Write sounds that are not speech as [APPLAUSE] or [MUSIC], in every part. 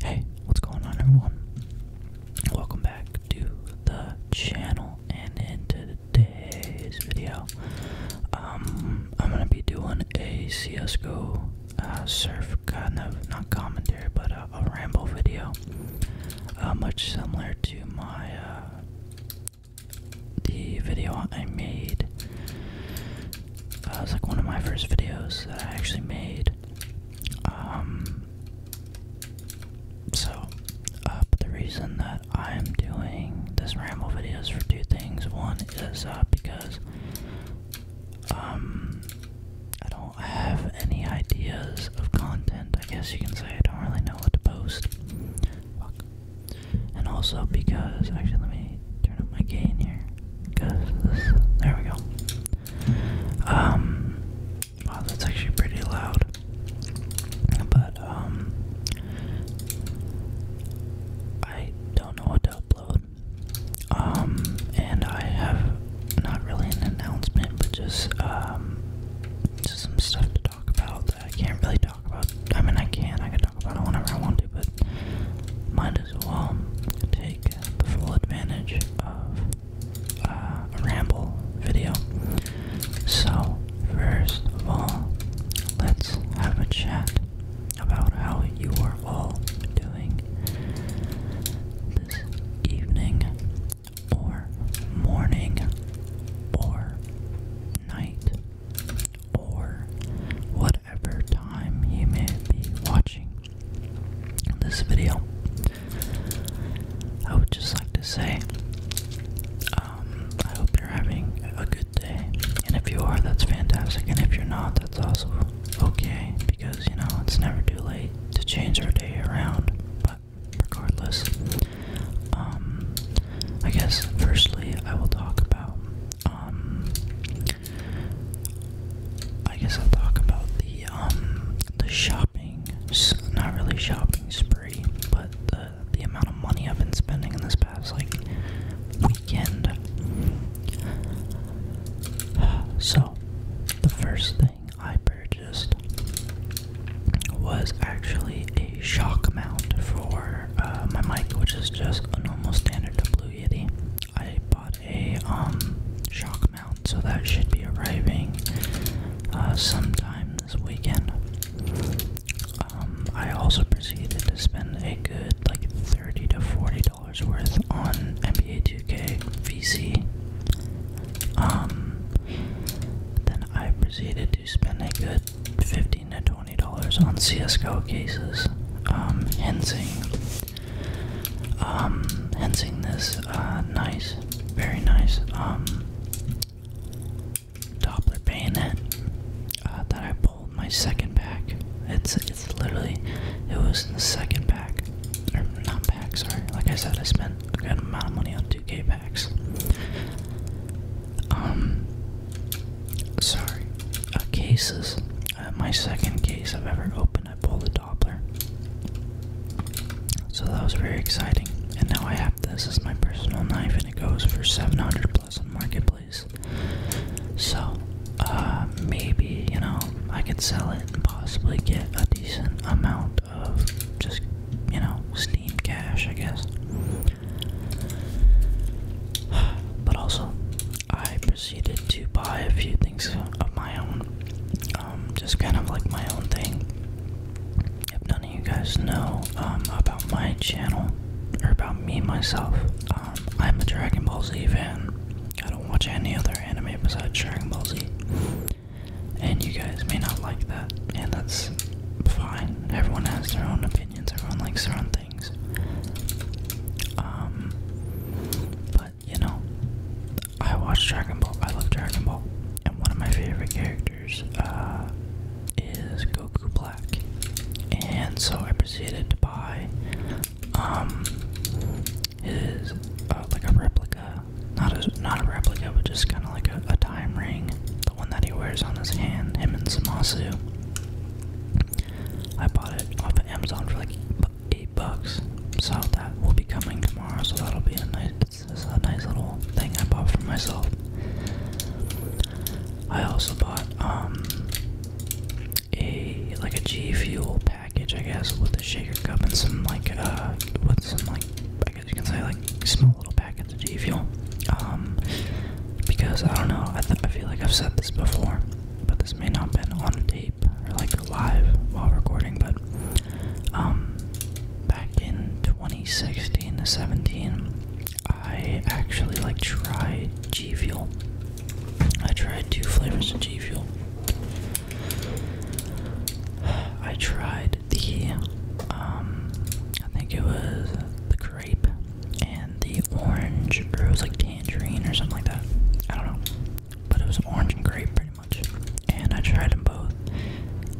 Hey, what's going on everyone? Welcome back to the channel and in today's video, um, I'm gonna be doing a CSGO uh, surf kind of, not commentary, but a, ramble video, uh, much similar to my, uh, the video I made, uh, That was like one of my first videos that I actually made um, so, uh, the reason that I'm doing this ramble videos for two things. One is uh, because um, I don't have any ideas of content. I guess you can say I don't really know what to post. And also because, actually, let me turn up my gain here there we go. Um, wow, that's actually pretty loud. But um, I don't know what to upload. Um, and I have not really an announcement, but just some stuff to talk about that I can't really talk about. I mean, I can, I can talk about it whenever I want to, but might as well take the full advantage of uh, a ramble video. So, first of all, let's have a chat about how you are all doing this evening, or morning, or night, or what whatever time you may be watching this video. I would just like to say, um, I hope you're having a good day. And if you are, that's fantastic. And if you're not, that's also okay. Because, you know, it's never too late to change our day around. But regardless, um, I guess firstly, I will talk about um, I guess I'll talk about the um the shopping, not really shopping spree, but the the amount of money I've been spending in this past like weekend. [SIGHS] So, the first thing I purchased was actually a shock mount for uh, my mic, which is just a normal standard Blue Yeti. I bought a um, shock mount, so that should be arriving uh, sometime this weekend. Um, I also proceeded to spend a good like thirty to forty dollars worth on NBA 2K VC. Um, then I proceeded to spend a good fifteen to twenty dollars on CS:GO cases. Um, hensing um, hensing this uh, nice, very nice um, Doppler bayonet uh, that I pulled my second pack. It's it's literally it was in the second pack or not pack. Sorry, like I said, I spent a good amount of money on 2K packs. Um, sorry, uh, cases. Uh, my second case I've ever opened. I pulled the Doppler. So that was very exciting. And now I have this as my personal knife, and it goes for 700 plus on Marketplace. So, uh, maybe, you know, I could sell it and possibly get a decent amount of just, you know, Steam cash, I guess. [SIGHS] But also, I proceeded to buy a few things of my own, um, just kind of like my own thing. If none of you guys know um, about my channel or about me myself, um, I'm a Dragon Ball Z fan. I don't watch any other anime besides Dragon Ball Z, and you guys may not like that, and that's fine. Everyone has their own opinions. Everyone likes their own things. Um, you know, I watch Dragon Ball. I love Dragon Ball, and one of my favorite characters uh, is Goku Black. And so I proceeded to buy um his uh, like a replica, not a not a replica, but just kind of like a, a time ring, the one that he wears on his hand, him and Samasu. I bought it off of Amazon for like eight bucks. So that will be coming tomorrow. So that'll be a nice, a nice little thing I bought for myself. I also bought um a like a G Fuel package, I guess, with a shaker cup and some like uh with some like I guess you can say like small little packets of G Fuel. Um, because I don't know, I I feel like I've said this before, but this may not have been on a date like live while recording, but um, back in 2016 to 17, I actually like tried G Fuel. I tried two flavors of G Fuel. I tried the, um, I think it was the grape and the orange, or it was like tangerine or something like that. I don't know. But it was orange and grape pretty much. And I tried them both.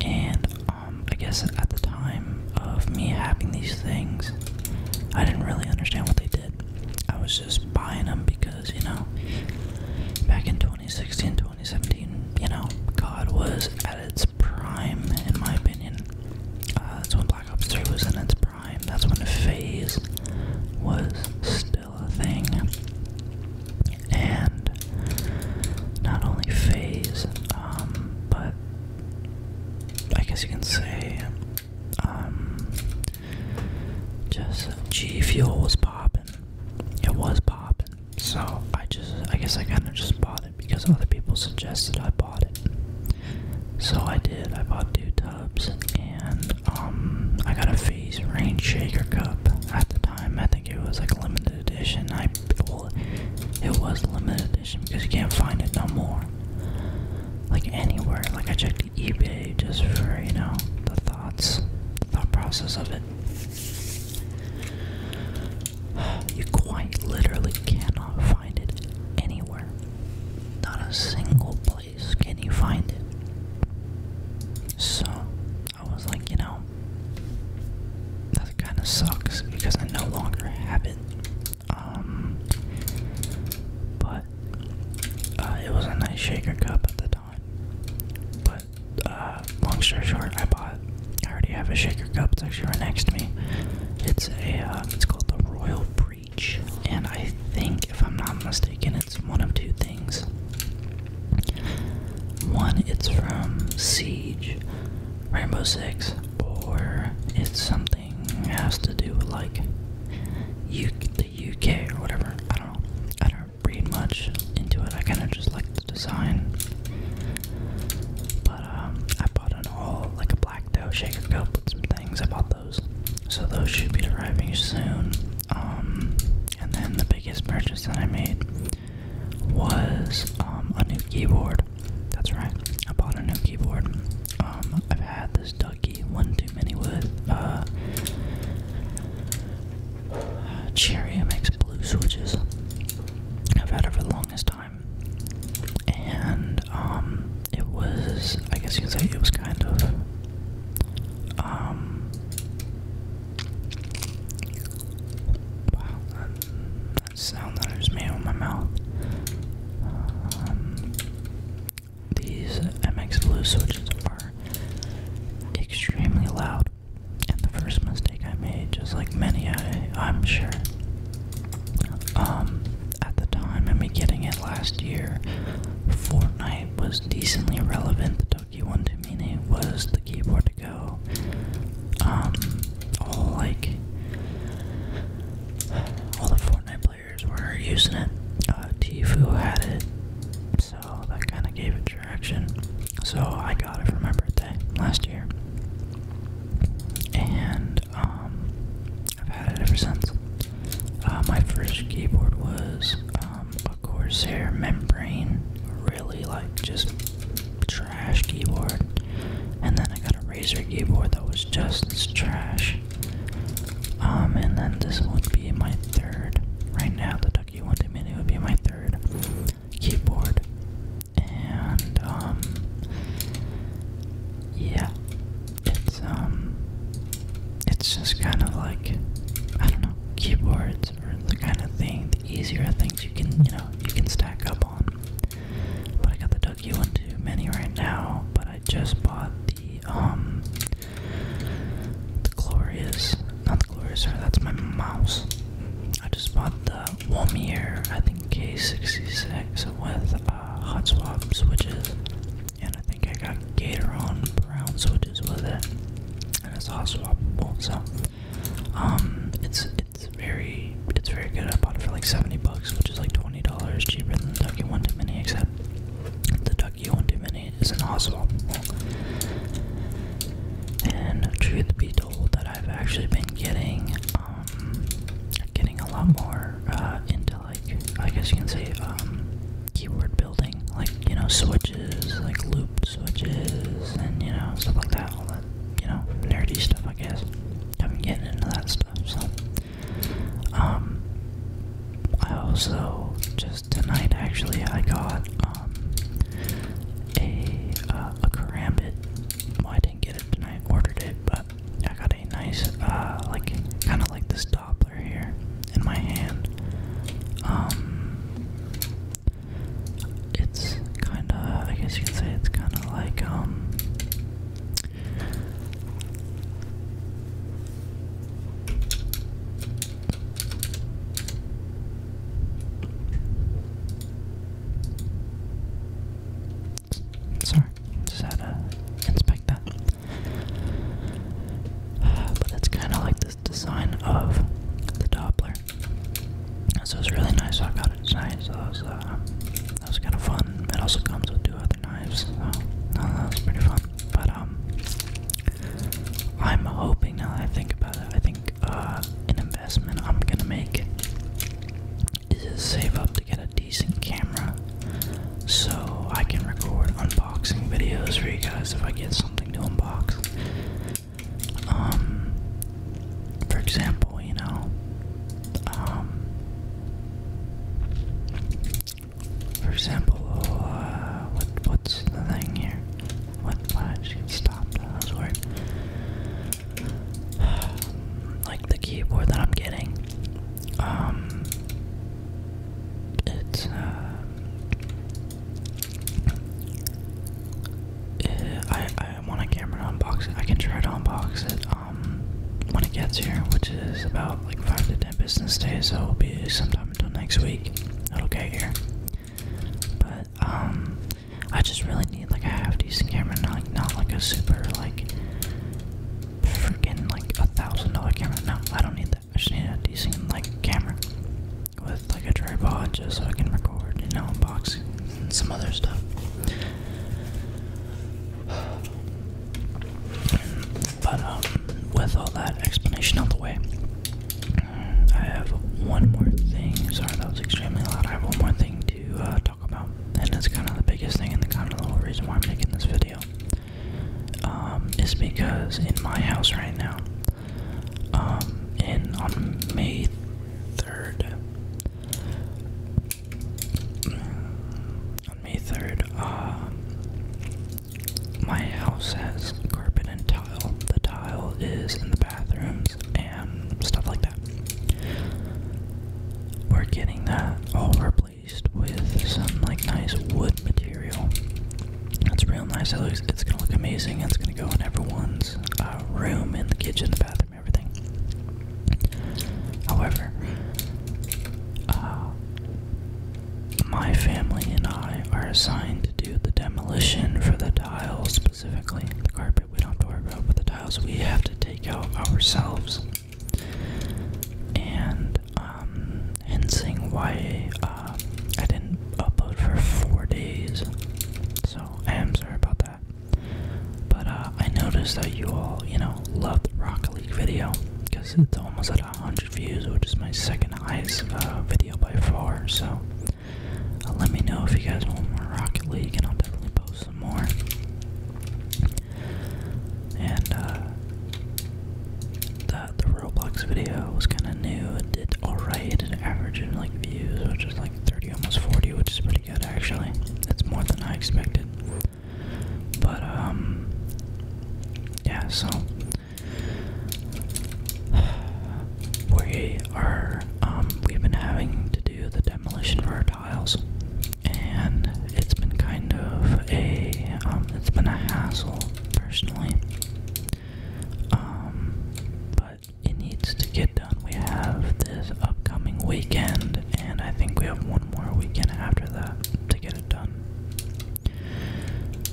And um, I guess at the time of me having these things, I didn't really understand what they did. I was just buying them because, you know, back in 2016, 2017, you know, God was at its prime, in my opinion. Uh, that's when Black Ops 3 was in its prime. That's when phase was still a thing. And not only phase, um, but I guess you can say, um, just G Fuel was popping. It was popping. So I just, I guess I kind of just bought it because other people suggested I bought it. So I did. I bought two cups, and um, I got a Phase Rain Shaker cup at the time. I think it was like limited edition. I well, it was limited edition because you can't find it no more, like anywhere. Like I checked eBay just for you know the thoughts, thought process of it. You quite literally cannot find it anywhere. Not a single place. Can you find it? So I was like, you know, that kind of sucks because I no longer have it. Um, but uh, it was a nice shaker cup at the time. But uh, long story short, I bought. I already have a shaker cup. It's actually right next to me. It's a. Uh, it's called the Royal Pre and I think, if I'm not mistaken, it's one of two things. One, it's from Siege, Rainbow Six, or it's something has to do with like the UK or whatever. I don't know. I don't read much into it. I kind of just like the design. But um, I bought an all like a black back though. Shaker's put some things about those. So those should be arriving soon. Um, and then the biggest purchase that I made was um, a new keyboard. That's right. I bought a new keyboard. Um, I've had this Ducky one too many with. Uh, Cherry makes blue switches. I've had it for the longest time, and it was I guess you can say it was kind of um wow that, sound that I just made with my mouth um, these MX blue switches are extremely loud and the first mistake I made just like many I I'm sure um at the time, I mean, getting it last year, Fortnite was decently relevant. The Toki One Tumine was the keyboard to go. Um, all like all the Fortnite players were using it. Uh, Tifu had it, so that kind of gave it traction. So I got it for my birthday last year, and um, I've had it ever since. Uh, my first keyboard was um, a Corsair Membrane, really like just trash keyboard. And then I got a Razer keyboard that was just trash. Um, and then this would be my third. Right now, the Ducky One Mini would be my third keyboard. And, um, yeah, it's um it's just kind of like I don't know, keyboards or the kind of thing, the easier things you can, you know, you can stack up on. But I got the Ducky One too many right now, but I just bought the um the glorious not the glorious that's my mouse. I just bought the Womier, I think K66 with uh, hot swap switches and I think I got Gator on brown switches with it, and it's all swappable. So, um, it's it's very it's very good. I bought it for like seventy bucks, which is like twenty dollars cheaper than the Ducky One Too Many, except the Ducky One Too Many isn't all swappable. And truth be told, that I've actually been getting um, getting a lot more uh like I guess you can say um, keyword building, like you know switches, like loop switches, and you know stuff like that. All that you know nerdy stuff, I guess. I've been getting into that stuff, so um, I also just tonight actually I got um, a uh, a karambit. Well, I didn't get it tonight, ordered it, but I got a nice, uh, like, kind of like this Doppler here in my hand. Um, it's kind of, I guess you could say it's kind of like, um, Sorry, just had to inspect that. Uh, but it's kind of like this design of the Doppler. So was really nice. I got it tonight. So that was, uh, that was kind of fun. It also comes with two other knives. So uh, that was pretty fun. But um, I'm hoping now that I think about it. I think an investment I'm gonna make is save up to get a decent camera so I can record unboxing videos for you guys if I get something to unbox. Um, for example, you know, um, for example, uh, what, what's the thing here? What, why did you stop? That was weird. [SIGHS] Like the keyboard that I'm getting, um, it's uh, it, eh, I I want a camera to unbox it. I can try to unbox it. Um, when it gets here, which is about like five to ten business days, so it'll be sometime until next week. It'll get here. But um, I just really need like a half decent camera, not like, not like a super like freaking like a thousand dollar camera. No, I don't need that. I just need a decent like camera with like a tripod just so I can record, you know, unboxing and some other stuff. [SIGHS] But um, with all that explanation out the way, I have one more thing. Sorry, that was extremely loud. I have one more thing to uh, and that's kind of the biggest thing and the kind of the whole reason why I'm making this video. Um, is because in my house right now, um, on May 3rd, on May 3rd, um, my house has carpet and tile. The tile is in the bathrooms and stuff like that. We're getting that all replaced with some like nice wood material. That's real nice. It looks, it's gonna look amazing. It's gonna go in everyone's uh, room, in the kitchen, the bathroom, everything. However, uh, my family and I are assigned to do the demolition for the tiles specifically. The carpet we don't have to worry about, but the tiles we have to take out ourselves and um, hinting why uh, I didn't upload for four days. So I am sorry about that. But uh, I noticed that you all, you know, love the Rocket League video because it's almost at 100 views, which is my second highest uh, video by far. So let me know if you guys want more Rocket League, and I'll definitely post some more. And uh, the, Roblox video was kind of new. It did alright. It did average in like views, which is like 30, almost 40, which is pretty good actually. It's more than I expected. But um, yeah. So [SIGHS] we are um, we've been having to do the demolition for our tiles, and it's been kind of a um, it's been a hassle personally. Um, but it needs to get done. We have this upcoming weekend, and I think we have one more weekend after that to get it done.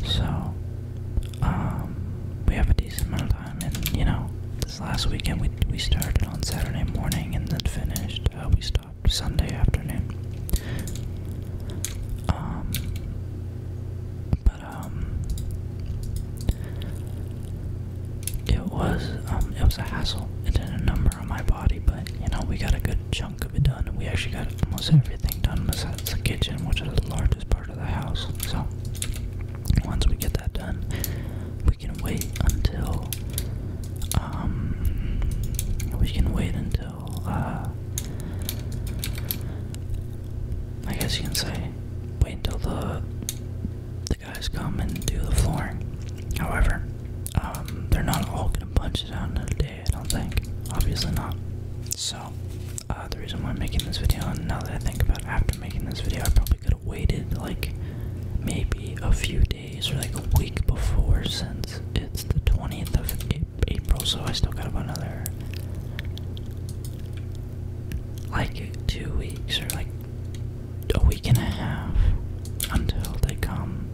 So, um, we have a decent amount of time, and you know, this last weekend we we started on Saturday morning and then finished. Uh, we Sunday afternoon. Um, but um, it was um, it was a hassle. It did a number on my body, but you know we got a good chunk of it done. We actually got almost everything done besides the kitchen, which is the largest part of the house. So once we get that done, we can wait until um, we can wait until uh, I guess you can say wait until the the guys come and do the flooring. However, um, they're not all gonna punch it out in a day, I don't think. Obviously not. So uh, the reason why I'm making this video and now that I think about it, after making this video I probably could have waited like maybe a few days or like a week before since it's the 20th of April, so I still got another like two weeks or like a week and a half until they come.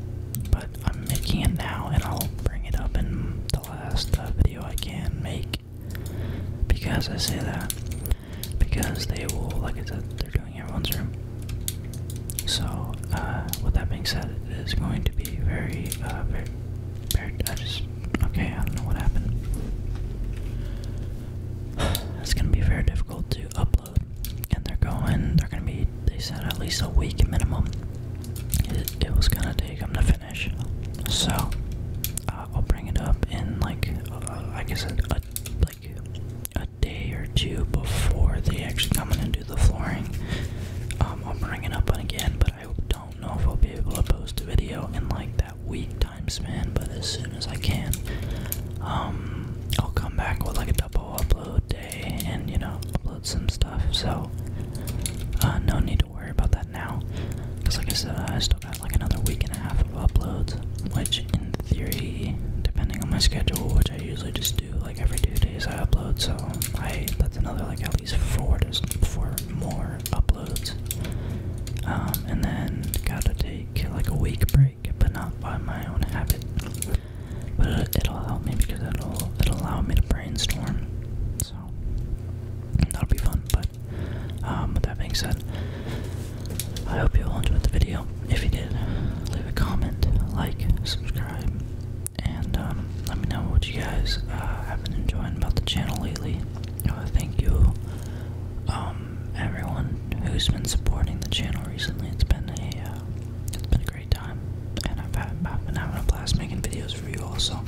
But I'm making it now and I'll bring it up in the last uh, video I can make because I say that. Because they will, like I said, they're everyone's room. So, uh, with that being said, it is going to be very, uh, very, I just, okay, I don't know what happened. [SIGHS] It's gonna be very difficult to upload, and they're going, they're gonna be, they said at least a week minimum. It, was gonna take them to finish. So, uh, I'll bring it up in like, I guess. a, a day or two before they actually come in and do the flooring. Um, I'll bring it up again, but I don't know if I'll be able to post a video in like that week time span. But as soon as I can, um, I'll come back with like a double upload day and you know upload some stuff. So uh, no need to worry about that now, because like I said, I still got like another week and a half of uploads, which in theory, depending on my schedule, which I usually just do like every two days I upload, so I that's another like at least four to four more uploads. Um, and then gotta take like a week break, but not by my own habit. But it'll help me because it'll it'll allow me to brainstorm. So that'll be fun. But um, with that being said, I hope you all enjoyed the video. If you did, leave a comment, like, subscribe, and um, let me know what you guys uh, have been enjoying about the channel lately. Uh, thank you, um, everyone who's been supporting the channel recently. It's been a uh, it's been a great time, and I've been having a blast making videos for you all. So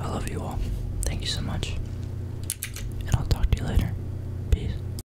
I love you all. Thank you so much, and I'll talk to you later. Peace.